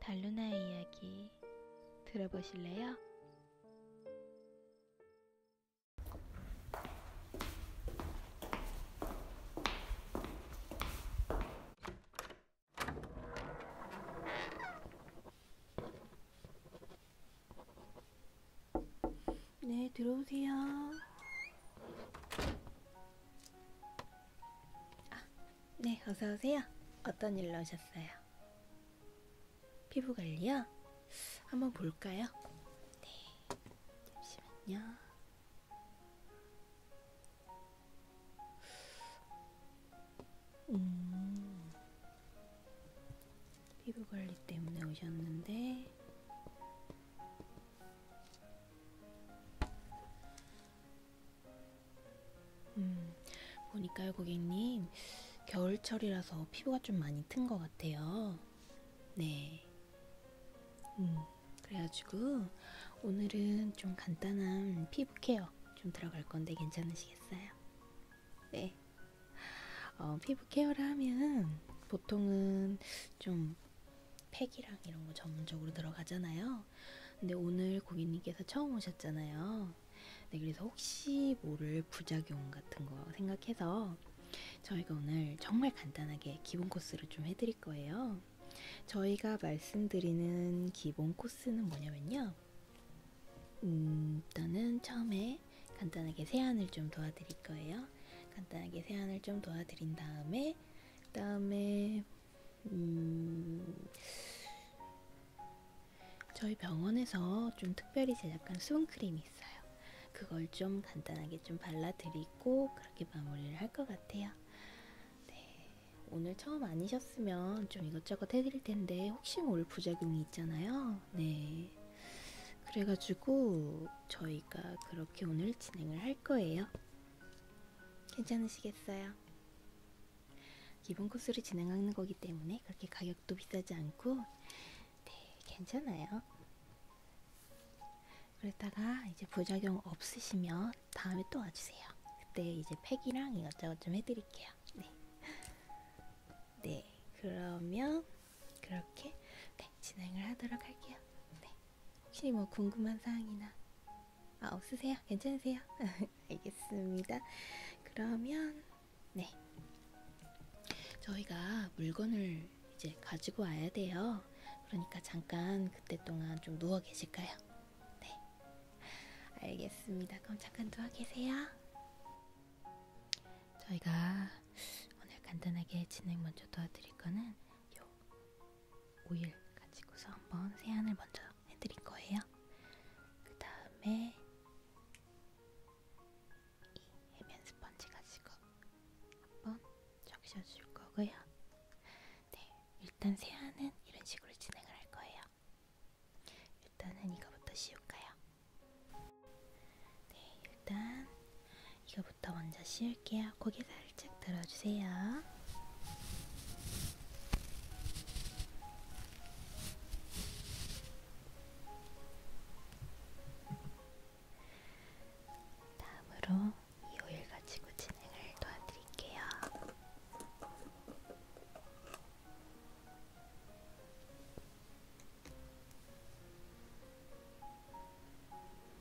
달루나의 이야기 들어보실래요? 네, 들어오세요. 아, 네, 어서오세요. 어떤 일로 오셨어요? 피부 관리요? 한번 볼까요? 네, 잠시만요. 음, 피부 관리 때문에 오셨는데, 음, 보니까요, 고객님. 겨울철이라서 피부가 좀 많이 튼 것 같아요. 네. 음, 그래가지고 오늘은 좀 간단한 피부 케어 좀 들어갈 건데 괜찮으시겠어요? 네. 어, 피부 케어를 하면 보통은 좀 팩이랑 이런 거 전문적으로 들어가잖아요. 거예요. 근데 오늘 고객님께서 처음 오셨잖아요. 네, 그래서 혹시 모를 부작용 같은 거 생각해서 저희가 오늘 정말 간단하게 기본 코스를 좀 해드릴 거예요. 저희가 말씀드리는 기본 코스는 뭐냐면요. 음, 일단은 처음에 간단하게 세안을 좀 도와드릴 거예요. 간단하게 세안을 좀 도와드린 다음에, 그 다음에 음, 저희 병원에서 좀 특별히 제작한 수분크림이 있어요. 그걸 좀 간단하게 좀 발라드리고 그렇게 마무리를 할 것 같아요. 네, 오늘 처음 아니셨으면 좀 이것저것 해드릴 텐데 혹시 모를 뭐 부작용이 있잖아요. 네, 그래가지고 저희가 그렇게 오늘 진행을 할 거예요. 괜찮으시겠어요? 기본 코스를 진행하는 거기 때문에 그렇게 가격도 비싸지 않고 네, 괜찮아요. 그랬다가 이제 부작용 없으시면 다음에 또 와주세요. 그때 이제 팩이랑 이것저것 좀 해드릴게요. 네. 네, 그러면 그렇게 네, 진행을 하도록 할게요. 네. 혹시 뭐 궁금한 사항이나 아 없으세요? 괜찮으세요? 알겠습니다. 그러면 네 저희가 물건을 이제 가지고 와야 돼요. 그러니까 잠깐 그때 동안 좀 누워 계실까요? 네 알겠습니다. 그럼 잠깐 누워 계세요. 저희가 오늘 간단하게 진행 먼저 도와드릴 거는 요 오일 가지고서 한번 세안을 먼저 해드릴 거예요. 그 다음에 이 해면 스펀지 가지고 한번 적셔줄 거고요. 네, 일단 세안은 이런 식으로 진행을 할 거예요. 일단은 이거부터 씌울까요? 네, 일단 이거 저부터 먼저 씌울게요. 고개 살짝 들어주세요. 다음으로 이 오일 가지고 진행을 도와드릴게요.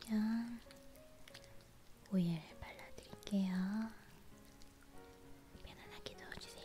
그러면 오일을 발라드릴게요. 편안하게 넣어주세요.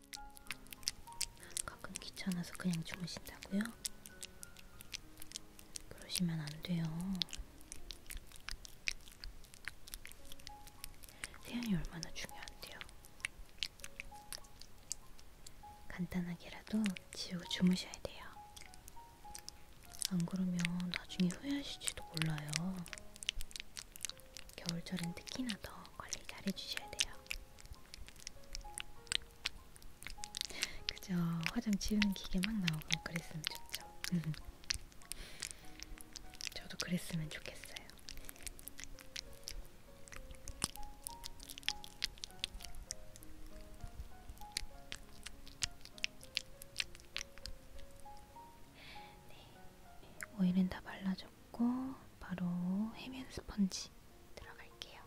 가끔 귀찮아서 그냥 주무신다고요? 그러시면 안 돼요. 세안이 얼마나 중요한데요. 간단하게라도 지우고 주무셔야 돼요. 안 그러면 나중에 후회하실지도 몰라요. 겨울철엔 특히나 더 관리 잘 해주셔야 돼요. 그저 화장 지우는 기계 막 나오고 그랬으면 좋죠. 음. 저도 그랬으면 좋겠어요. 네, 오일은 다 발라줬고 그리고 바로 해면 스펀지 들어갈게요.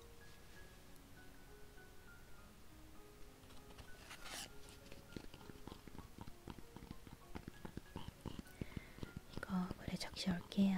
이거 물에 적셔 올게요.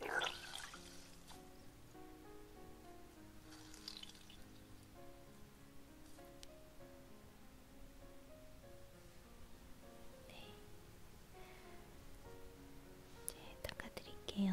네, 닦아드릴게요.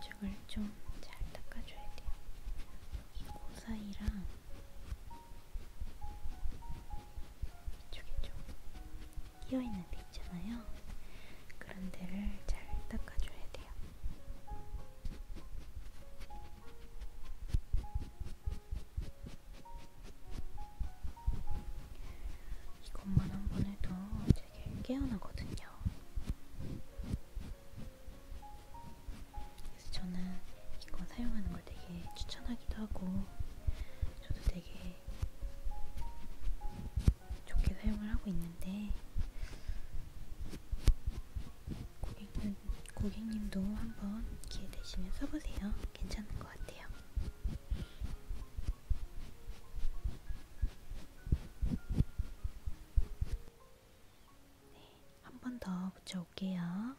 이쪽을 좀 잘 닦아줘야 돼요. 이코 사이랑 이쪽에 좀 끼어있는 데 있잖아요. 그런 데를 잘 닦아줘야 돼요. 이것만 한 번 해도 되게 깨어나거든요. 그래서 저는 이거 사용하는 걸 되게 추천하기도 하고, 저도 되게 좋게 사용을 하고 있는데 고객님, 고객님도 한번 기회 되시면 써보세요. 괜찮은 것 같아요. 네, 한번 더 붙여올게요.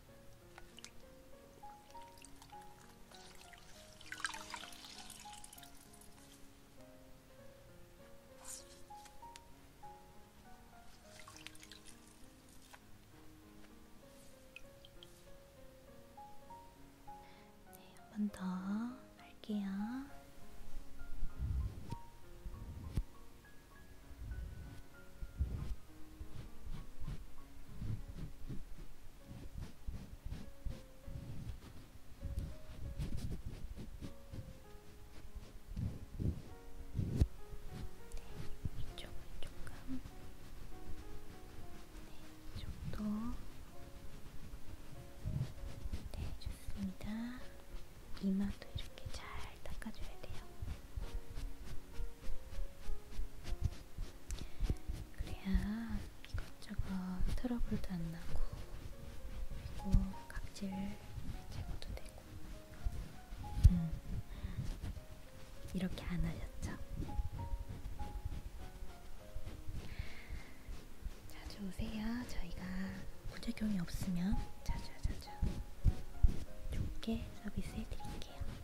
네, 한번 더 할게요. 네, 이쪽은 조금 네, 이쪽도 네, 좋습니다. 이마도 이렇게 잘 닦아줘야 돼요. 그래야 이것저것 트러블도 안 나고 그리고 각질 제거도 되고 음. 이렇게 안 하셨죠? 자주 오세요. 저희가 부작용이 없으면 자주 자주 좋게 서비스해 드릴게요.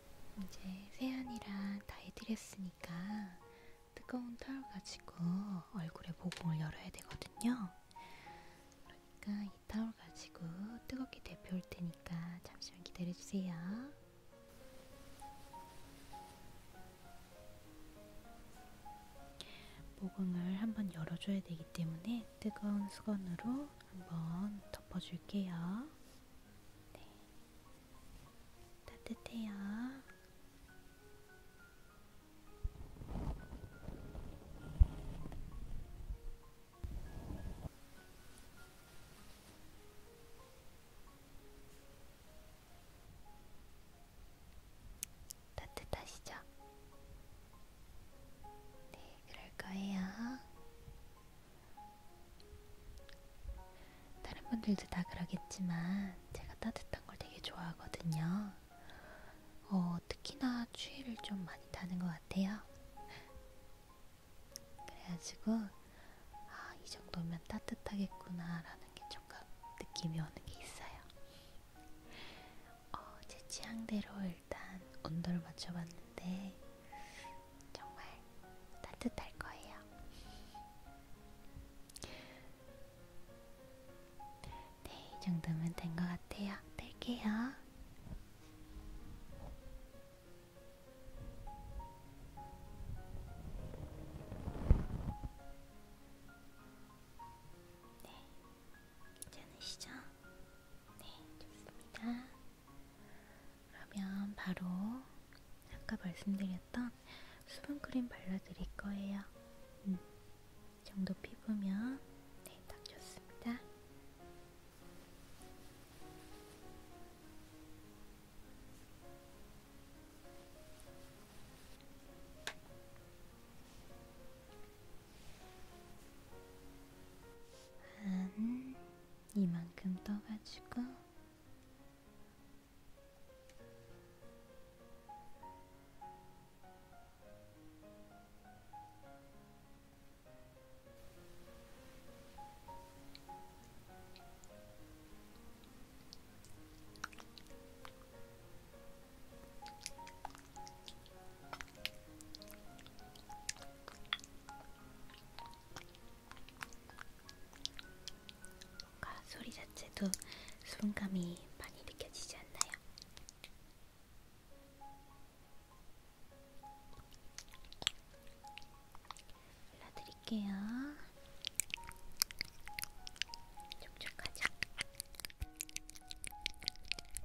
이제 세안이랑 다 해드렸으니까 뜨거운 털 가지고 얼굴에 모공을 열어야 되거든요. 그러니까 이 타올 가지고 뜨겁게 데펴올 테니까 잠시만 기다려주세요. 모공을 한번 열어줘야 되기 때문에 뜨거운 수건으로 한번 덮어줄게요. 네. 따뜻해요. 따뜻하시죠? 네, 그럴 거예요. 다른 분들도 다 그러겠지만 제가 따뜻한 걸 되게 좋아하거든요. 어, 특히나 추위를 좀 많이 타는 것 같아요. 그래가지고 아, 이 정도면 따뜻하겠구나라는 게 조금 느낌이 오는 게 있어요. 어, 제 취향대로 일단 온도를 맞춰봤는데 정말 따뜻할 거예요. 네, 이 정도면 된 것 같아요. 뗄게요. 네, 네, 괜찮으시죠? 네, 좋습니다. 그러면 바로 아까 말씀드렸던 수분크림 발라드릴 거예요. 음, 이 정도 피부면 네, 딱 좋습니다. 한 이만큼 떠가지고 뭔가 소리 자체도 수분감이 많이 느껴지지 않나요? 발라드릴게요. 촉촉하죠?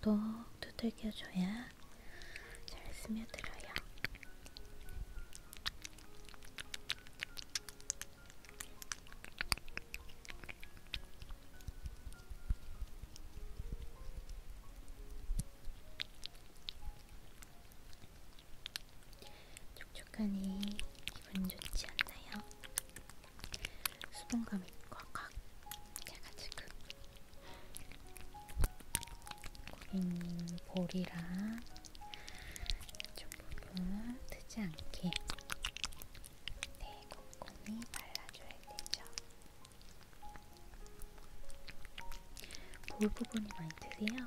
톡톡 두들겨줘야 잘 스며들어요. 촉촉하니 기분 좋지 않나요? 수분감이 꽉꽉 해가지고 고객님 볼이랑 이쪽 부분 트지 않게 네, 꼼꼼히 발라줘야 되죠. 볼 부분이 많이 트세요?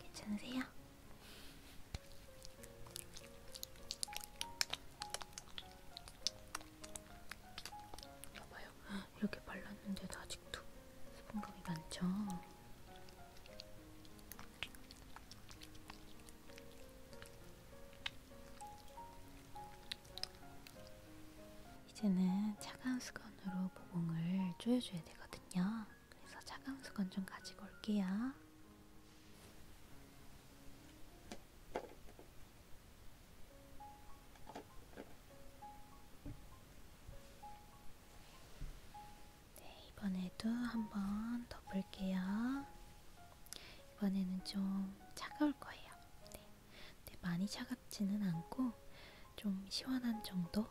괜찮으세요? 봐봐요. 이렇게 발랐는데도 아직도 수분감이 많죠? 이제는 차가운 수건으로 모공을 조여줘야 되거든요. 그래서 차가운 수건 좀 가지고 올게요. 네, 이번에도 한번 덮을게요. 이번에는 좀 차가울 거예요. 네. 근데 네, 많이 차갑지는 않고 좀 시원한 정도?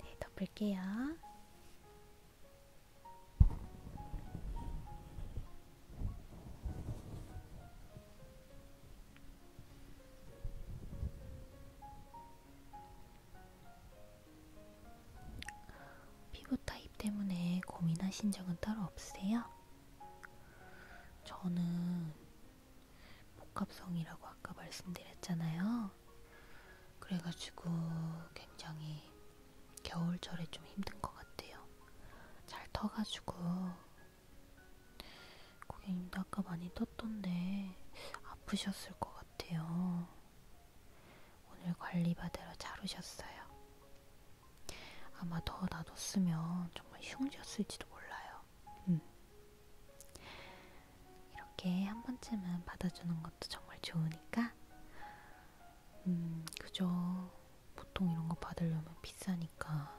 네, 덮을게요. 피부 타입 때문에 고민하신 적은 따로 없으세요? 저는 복합성이라고 아까 말씀드렸잖아요. 그래가지고 굉장히 겨울철에 좀 힘든 것 같아요. 잘 터가지고 고객님도 아까 많이 떴던데 아프셨을 것 같아요. 오늘 관리받으러 잘 오셨어요. 아마 더 놔뒀으면 정말 흉지였을지도 몰라요. 음. 이렇게 한 번쯤은 받아주는 것도 정말 좋으니까, 음, 그죠. 보통 이런 거 받으려면 비싸니까.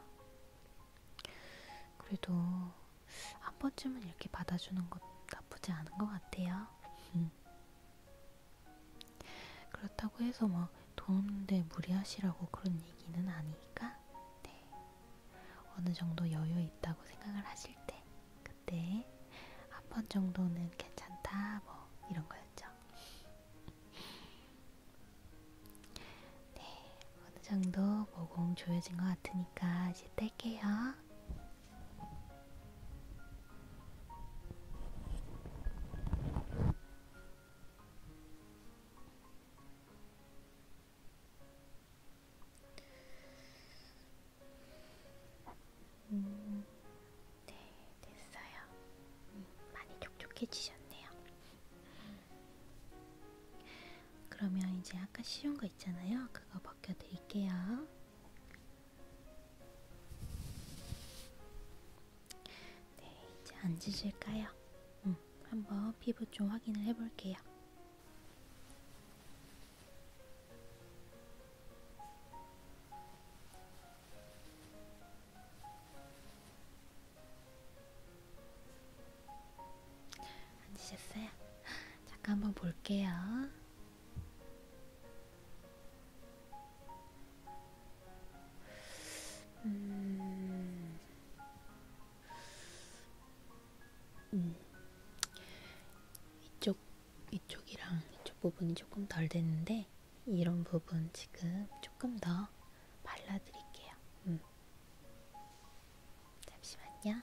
그래도 한 번쯤은 이렇게 받아주는 것 나쁘지 않은 것 같아요. 음. 그렇다고 해서 막 뭐 더운데 무리하시라고 그런 얘기는 아니니까 네. 어느 정도 여유 있다고 생각을 하실 때 그때 한 번 정도는 괜찮다 뭐 이런 거였죠. 네, 어느 정도 모공 조여진 것 같으니까 이제 뗄게요. 음, 네, 됐어요. 음, 많이 촉촉해지셨네요. 그러면 이제 아까 씌운 거 있잖아요. 그거 벗겨드릴게요. 네, 이제 앉으실까요? 음, 한번 피부 좀 확인을 해볼게요. 앉으셨어요? 잠깐 한번 볼게요. 음, 음. 이쪽, 이쪽이랑 이쪽 부분이 조금 덜 됐는데, 이런 부분 지금 조금 더 발라드릴게요. 음. 잠시만요.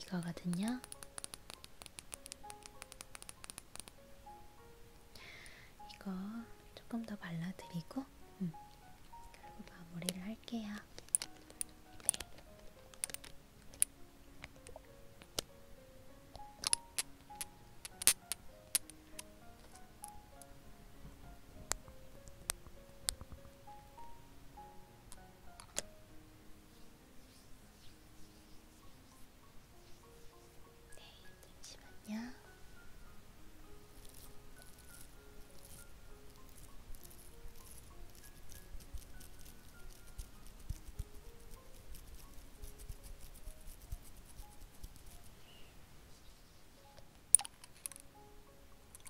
이거거든요. 이거 조금 더 발라드리고 음, 그리고 마무리를 할게요. 네. 네, 잠시만요.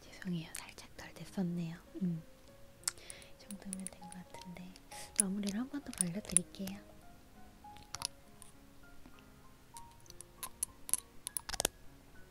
죄송해요. 살짝 덜 됐었네요. 음. 이 정도면 된 것 같은데 마무리를 한 번 더 발라드릴게요.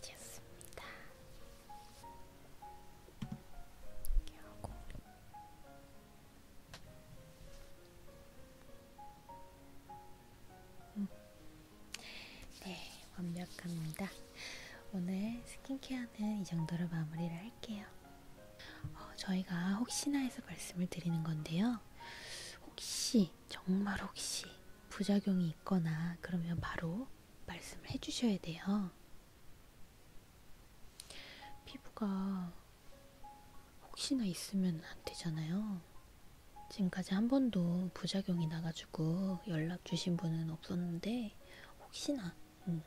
되셨습니다. 이렇게 하고 음. 네, 완벽합니다. 오늘 스킨케어는 이 정도로 마무리를 할게요. 어, 저희가 혹시나 해서 말씀을 드리는 건데요. 혹시, 정말 혹시 부작용이 있거나 그러면 바로 말씀을 해주셔야 돼요. 피부가 혹시나 있으면 안 되잖아요. 지금까지 한 번도 부작용이 나가지고 연락 주신 분은 없었는데 혹시나 음.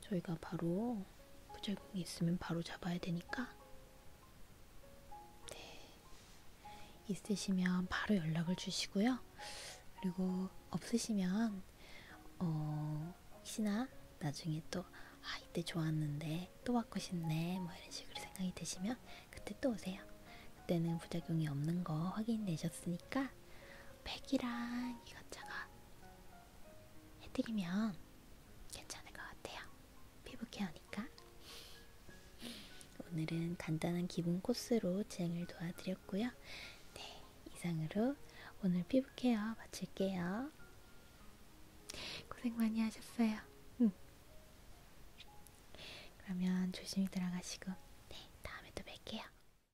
저희가 바로 부절공이 있으면 바로 잡아야 되니까 네. 있으시면 바로 연락을 주시고요. 그리고 없으시면 어, 혹시나 나중에 또 아, 이때 좋았는데 또 받고 싶네 뭐 이런 식으로 생각이 드시면 그때 또 오세요. 그때는 부작용이 없는 거 확인되셨으니까 팩이랑 이것저것 해드리면 괜찮을 것 같아요. 피부 케어니까. 오늘은 간단한 기본 코스로 진행을 도와드렸고요. 네, 이상으로 오늘 피부 케어 마칠게요. 고생 많이 하셨어요. 응. 음. 그러면 조심히 들어가시고, 네, 다음에 또 뵐게요.